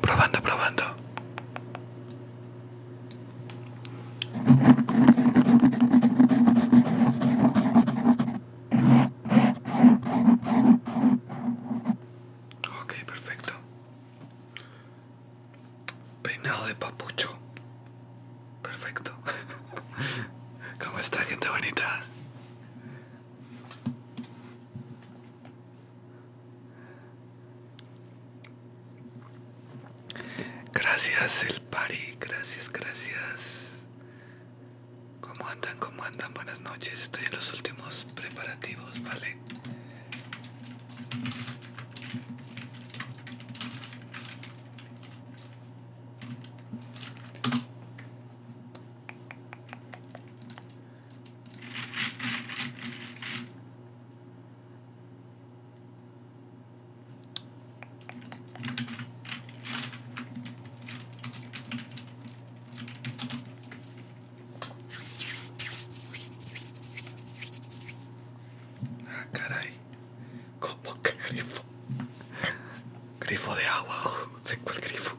Probando, probando. Ok, perfecto. Peinado de papucho. Perfecto. ¿Cómo está, gente bonita? Gracias el pari, gracias, gracias. ¿Cómo andan? ¿Cómo andan? Buenas noches. Estoy en los últimos preparativos, ¿vale? Ah, caray. ¿Cómo que grifo? Grifo de agua, ¿de cuál grifo?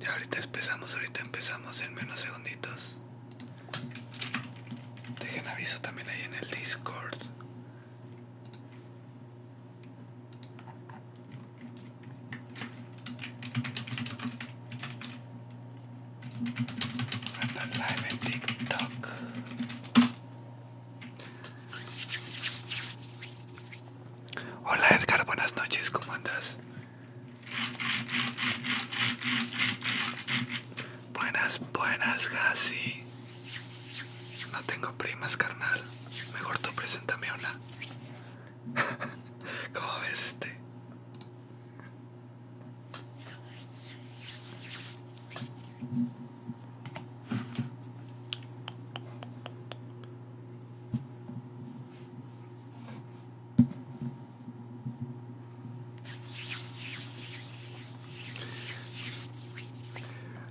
Ya ahorita empezamos, ahorita empezamos en menos segunditos. Dejen aviso también ahí en el Discord. TikTok. Hola Edgar, buenas noches, ¿cómo andas? Buenas, buenas, Gassi. No tengo primas, carnal. Mejor tú preséntame una. ¿Cómo ves este?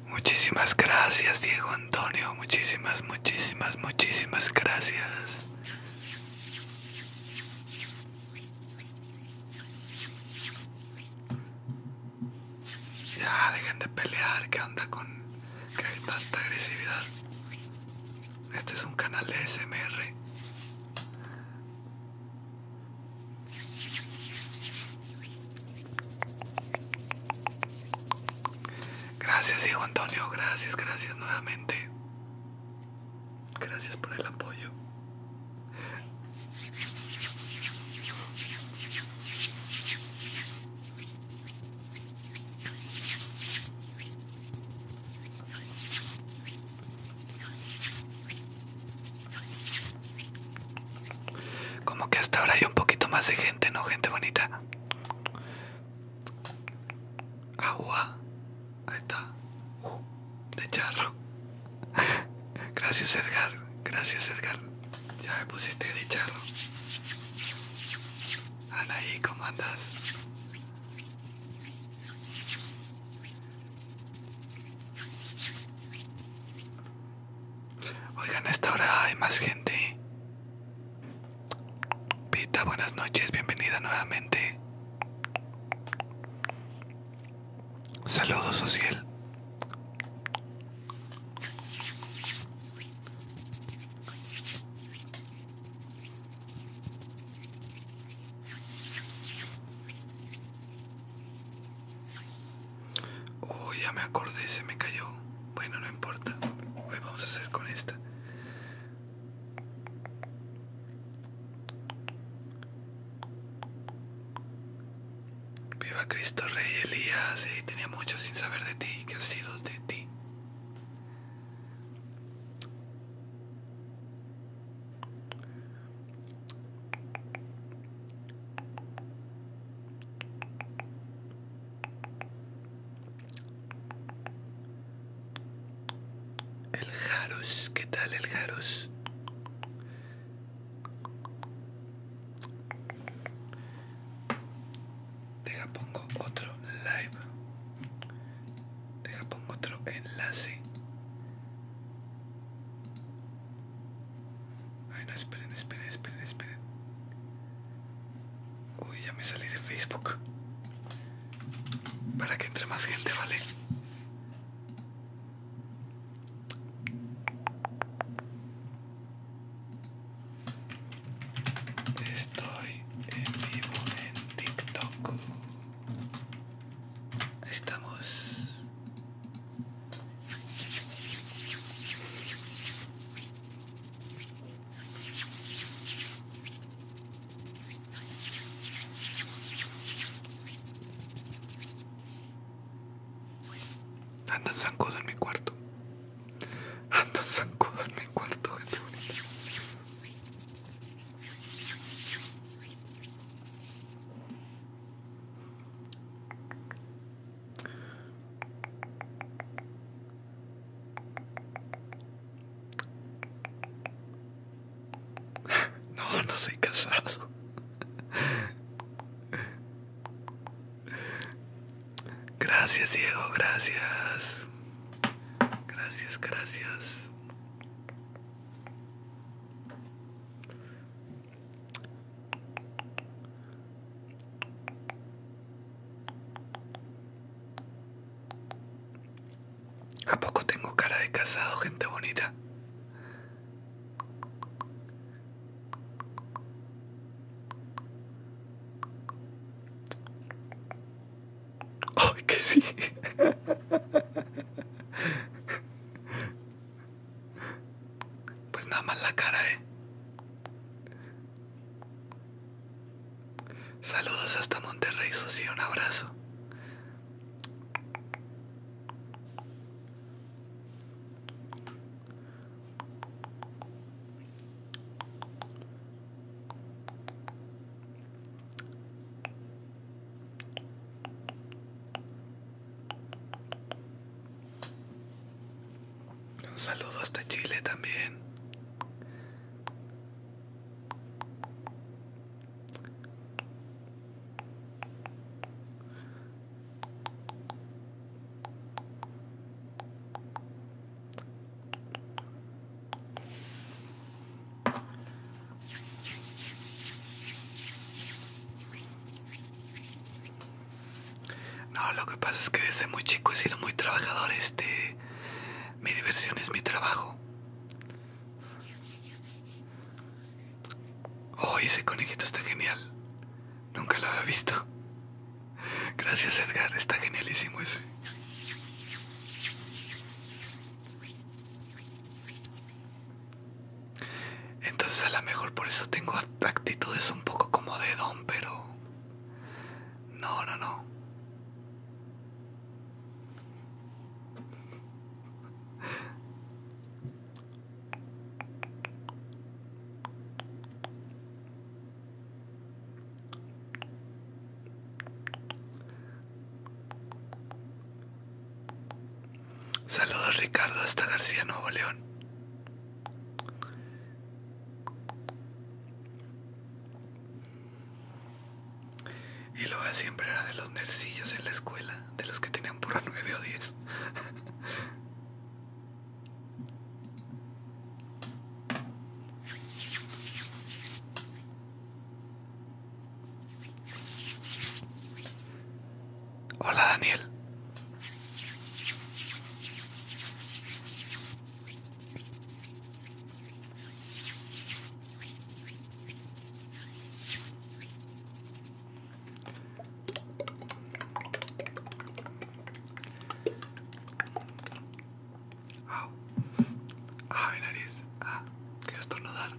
Muchísimas gracias, Diego Antonio. Muchísimas, muchísimas, muchísimas gracias. Ya, dejen de pelear. Que onda con hay tanta agresividad? Este es un canal de SMR. Gracias, hijo Antonio. Gracias, gracias nuevamente. Gracias por el apoyo. Como que hasta ahora hay un poquito más de gente, ¿no? Gente bonita. Agua. Ahí está. Uh, de charro. Gracias Edgar. Gracias Edgar. Ya me pusiste de charro. Anaí, ¿cómo andas? Oigan, a esta hora hay más gente. Pita, buenas noches, bienvenida nuevamente. Saludos, social. Uy, oh, ya me acordé, se me cayó. Bueno, no importa. Hoy vamos a hacer con esta. Viva Cristo Rey Elías, tenía mucho sin saber de ti, ¿Qué ha sido de ti. El Jaros, ¿qué tal el Jaros? Deja pongo otro live. Deja pongo otro enlace. Ay no, esperen, esperen, esperen, esperen. Uy, ya me salí de Facebook. Para que entre más gente, ¿vale? Estoy en vivo en TikTok. Estamos. Andan zancudo en mi cuarto. Ando zancudo en mi cuarto, de bonita. No, no soy casado. Gracias, Diego, gracias. Gracias, gracias. ¿A poco tengo cara de casado, gente bonita? ¡Ay, que sí! Pues nada más la cara, eh. Saludos hasta Monterrey, y un abrazo. Un saludo hasta Chile también. No, lo que pasa es que desde muy chico he sido muy trabajador, este... Mi diversión es mi trabajo. oh, ese conejito está genial. Nunca lo había visto. Gracias, Edgar. Está genialísimo ese. Entonces, a lo mejor por eso tengo actitudes un poco como de don, pero. No, no, no. Saludos Ricardo hasta García Nuevo León. Y luego siempre era de los nercillos en la escuela, de los que tenían por 9 o 10. Hola Daniel. Ah, ah mi nariz. Ah, quiero estornudar.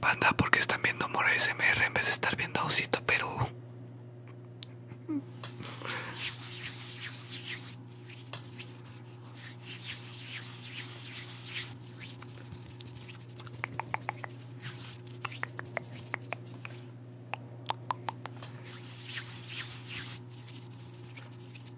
Panda, porque están viendo Mora SMR en vez de estar viendo Osito Perú.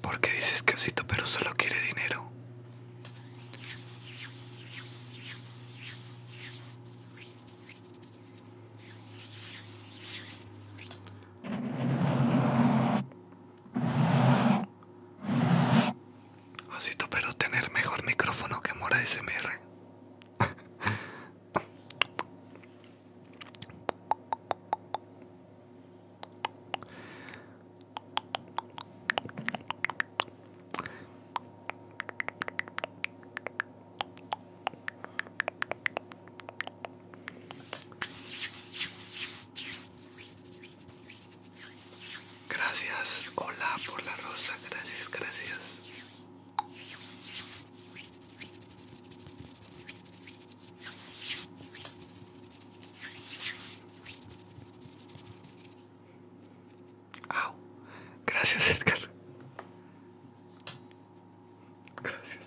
¿Por qué dices que Osito Perú solo quiere dinero? Osito Perú tener mejor micrófono que Mora SMR. Gracias, hola por la rosa, gracias, gracias. Au. Gracias, Edgar. Gracias.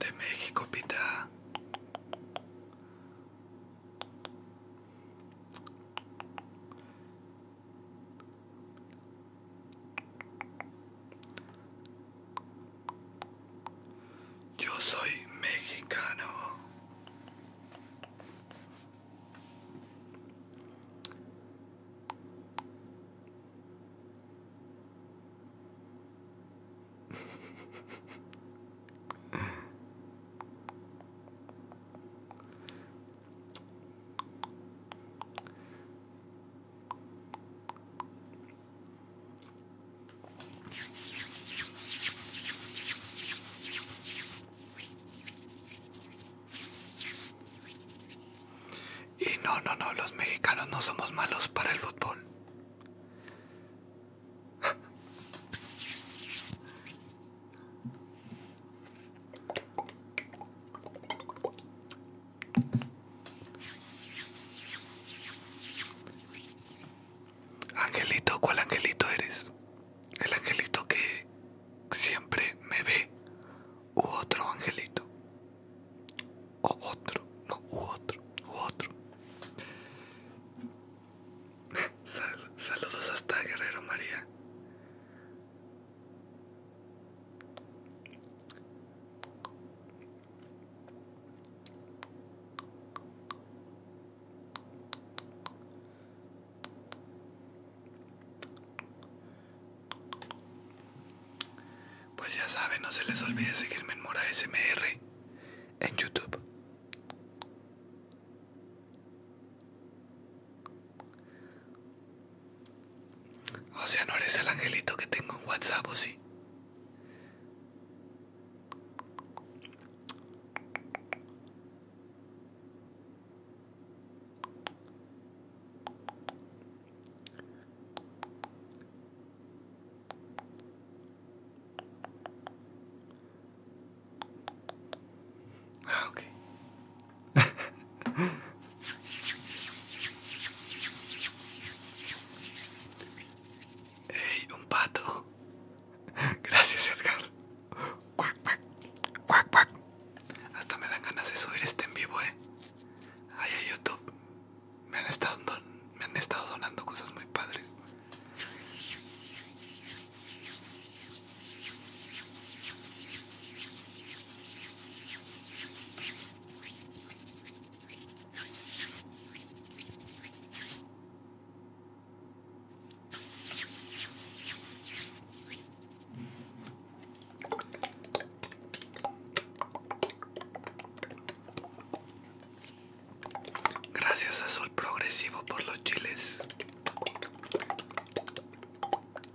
De México, pita. Yo soy mexicano. Y no, no, no, los mexicanos no somos malos para el fútbol. Angelito, ¿cuál angelito eres? El angelito que siempre me ve. U otro angelito. O otro, no, u otro, u otro. saludos hasta Guerrero María. Pues ya saben, no se les olvide seguirme en Mora SMR en YouTube. O sea, no eres el angelito que tengo en WhatsApp, ¿o sí? Ah, Ey, un pato. Gracias, Edgar. Cuac, cuac, cuac, cuac. Hasta me dan ganas de subir este en vivo, eh. Ahí a YouTube. Me han estado, me han estado donando cosas muy padres. Gracias a Sol Progresivo por los chiles.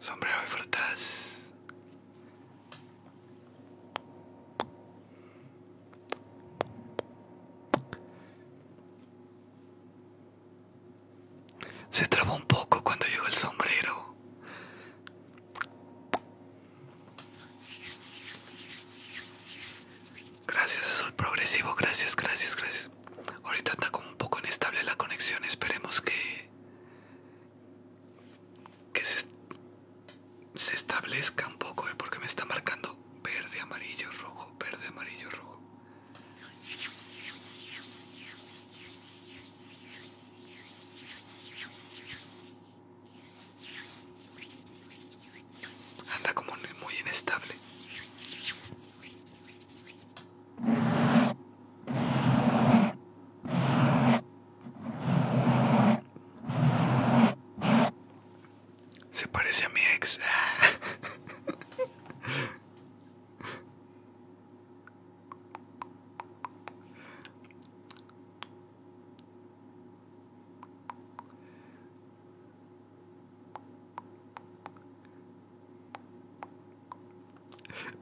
Sombrero de frutas. Se trabó un poco cuando llegó el sombrero. Gracias, soy progresivo. Gracias, gracias, gracias ahorita está como un poco inestable la conexión. Esperemos que, que se, establezca un poco, eh, porque me está marcando verde, amarillo, rojo, verde, amarillo, rojo. Anda como muy inestable. Se parece a mi ex.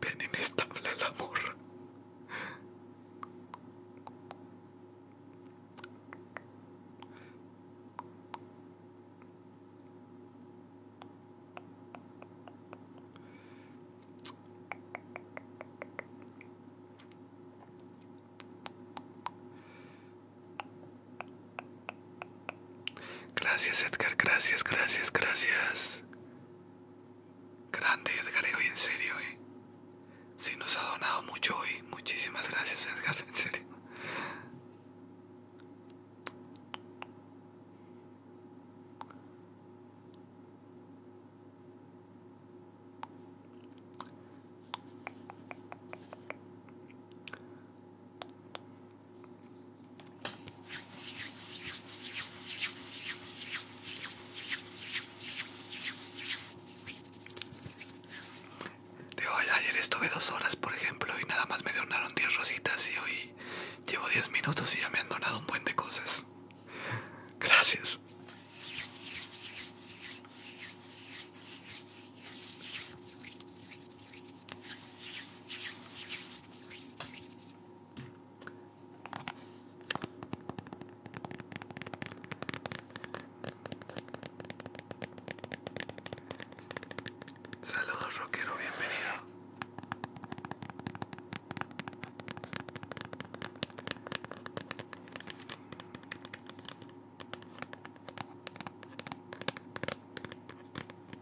Bien inestable el amor. Gracias Edgar, gracias, gracias, gracias. Grande Edgar, hoy en serio, eh. nos ha donado mucho hoy. Muchísimas gracias Edgar, en serio. De ayer estuve dos horas, por ejemplo, y nada más me donaron 10 rositas y hoy llevo 10 minutos y ya me han donado un buen de cosas. Gracias. Saludos rockero, bienvenido.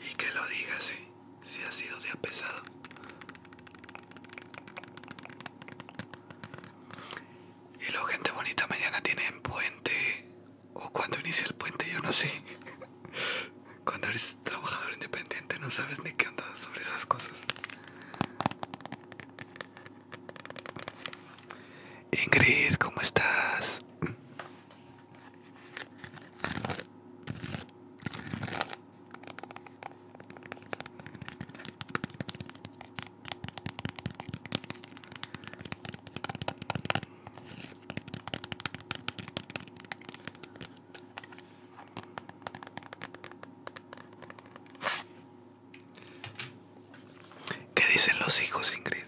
Y que lo diga sí si ha sido día pesado. Y la gente bonita mañana tienen puente o cuando inicia el puente, yo no sé. Cuando eres trabajador independiente no sabes ni qué onda sobre esas cosas. Ingrid, ¿cómo estás? ¿Qué dicen los hijos, Ingrid?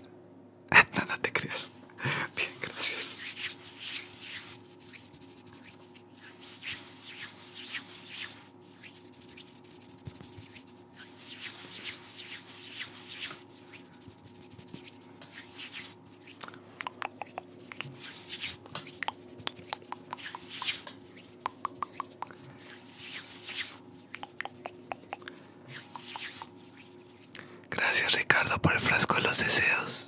Nada te creas. Bien, gracias. Gracias Ricardo por el frasco de los deseos.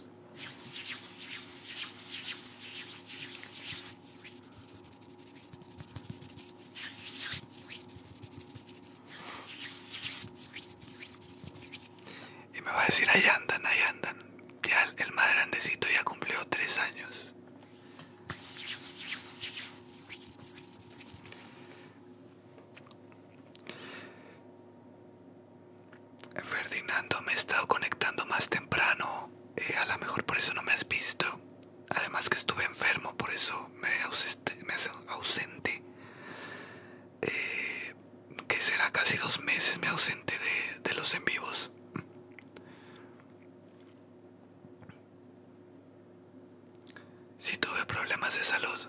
Y me va a decir, ahí andan, ahí andan. Ya el, más grandecito ya cumplió tres años. Ferdinando, me he estado conectando más temprano. Eh, a lo mejor por eso no me has visto. Además que estuve enfermo, por eso me ausente. ausente. Eh, que será casi dos meses me ausente de, los en vivos. Si tuve problemas de salud.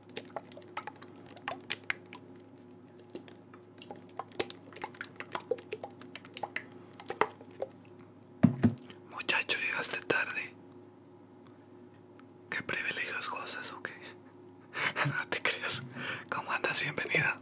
Muchacho, llegaste tarde. ¿Qué privilegios cosas o qué? no te creas. ¿Cómo andas? Bienvenida.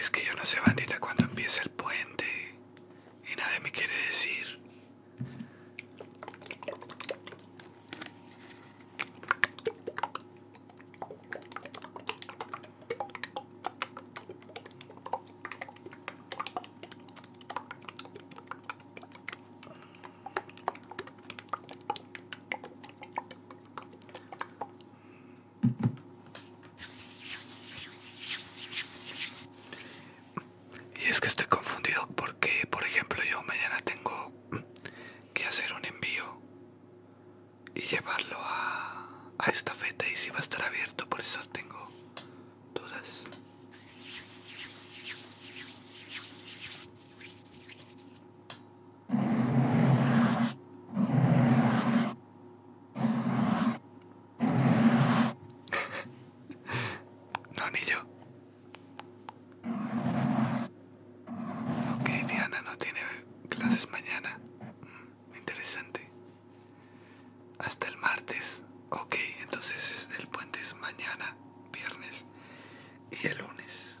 Es que yo no sé, bandita, cuando empieza el puente y nadie me quiere decir. Y es que estoy confundido porque, por ejemplo, yo mañana tengo que hacer un envío y llevarlo a, esta feta y si va a estar abierto, por eso tengo dudas. No, ni yo. Ok, Diana no tiene clases mañana. Mm, interesante. Hasta el martes. Ok, entonces el puente es mañana, viernes y el lunes.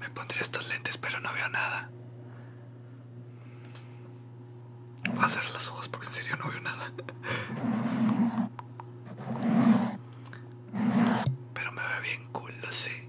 Me pondría estos lentes, pero no veo nada. Voy a cerrar los ojos porque en serio no veo nada. Pero me ve bien cool, lo sé.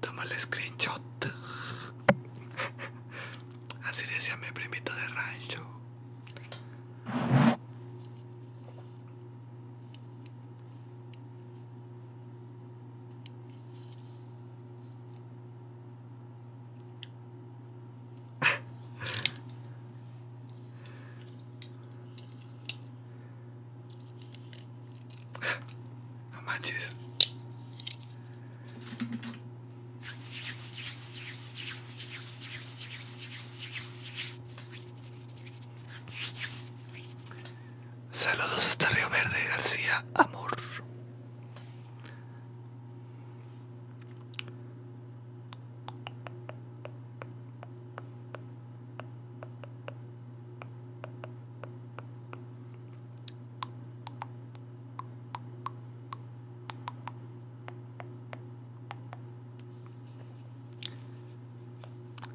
Toma el screenshot. Así decía mi primito de rancho. Saludos hasta Río Verde, García, amor.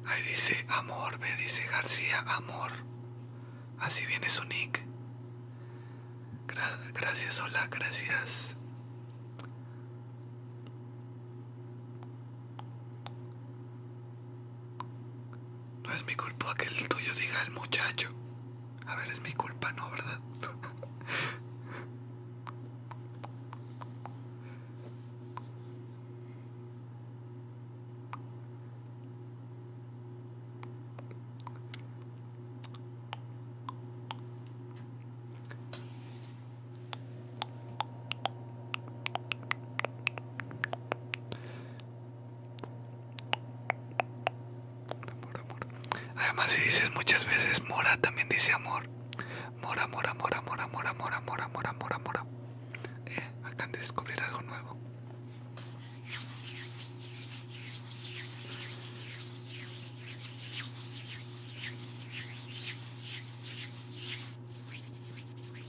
Ahí dice amor, ve, dice García, amor. Así viene su nick. gracias, hola, gracias. No es mi culpa que el tuyo diga el muchacho. A ver, es mi culpa, ¿no? ¿Verdad? Además, si dices muchas veces mora, también dice amor. Mora, mora, mora, mora, mora, mora, mora, mora, mora, mora. Eh, acaban de descubrir algo nuevo.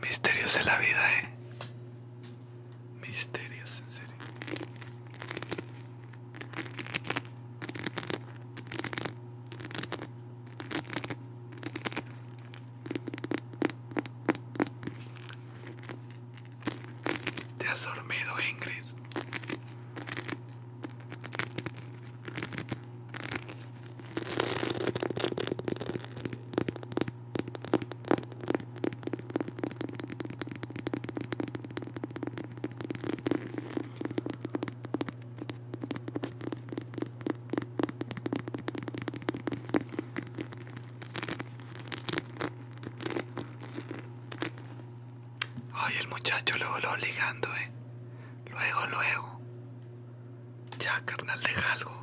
Misterios de la vida, eh. Misterios, en serio. Te has dormido, Ingrid. Ay, el muchacho lo lo ligando, eh. Luego, luego. Ya, carnal, de algo.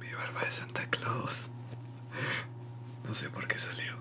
Mi barba de Santa Claus. No sé por qué salió.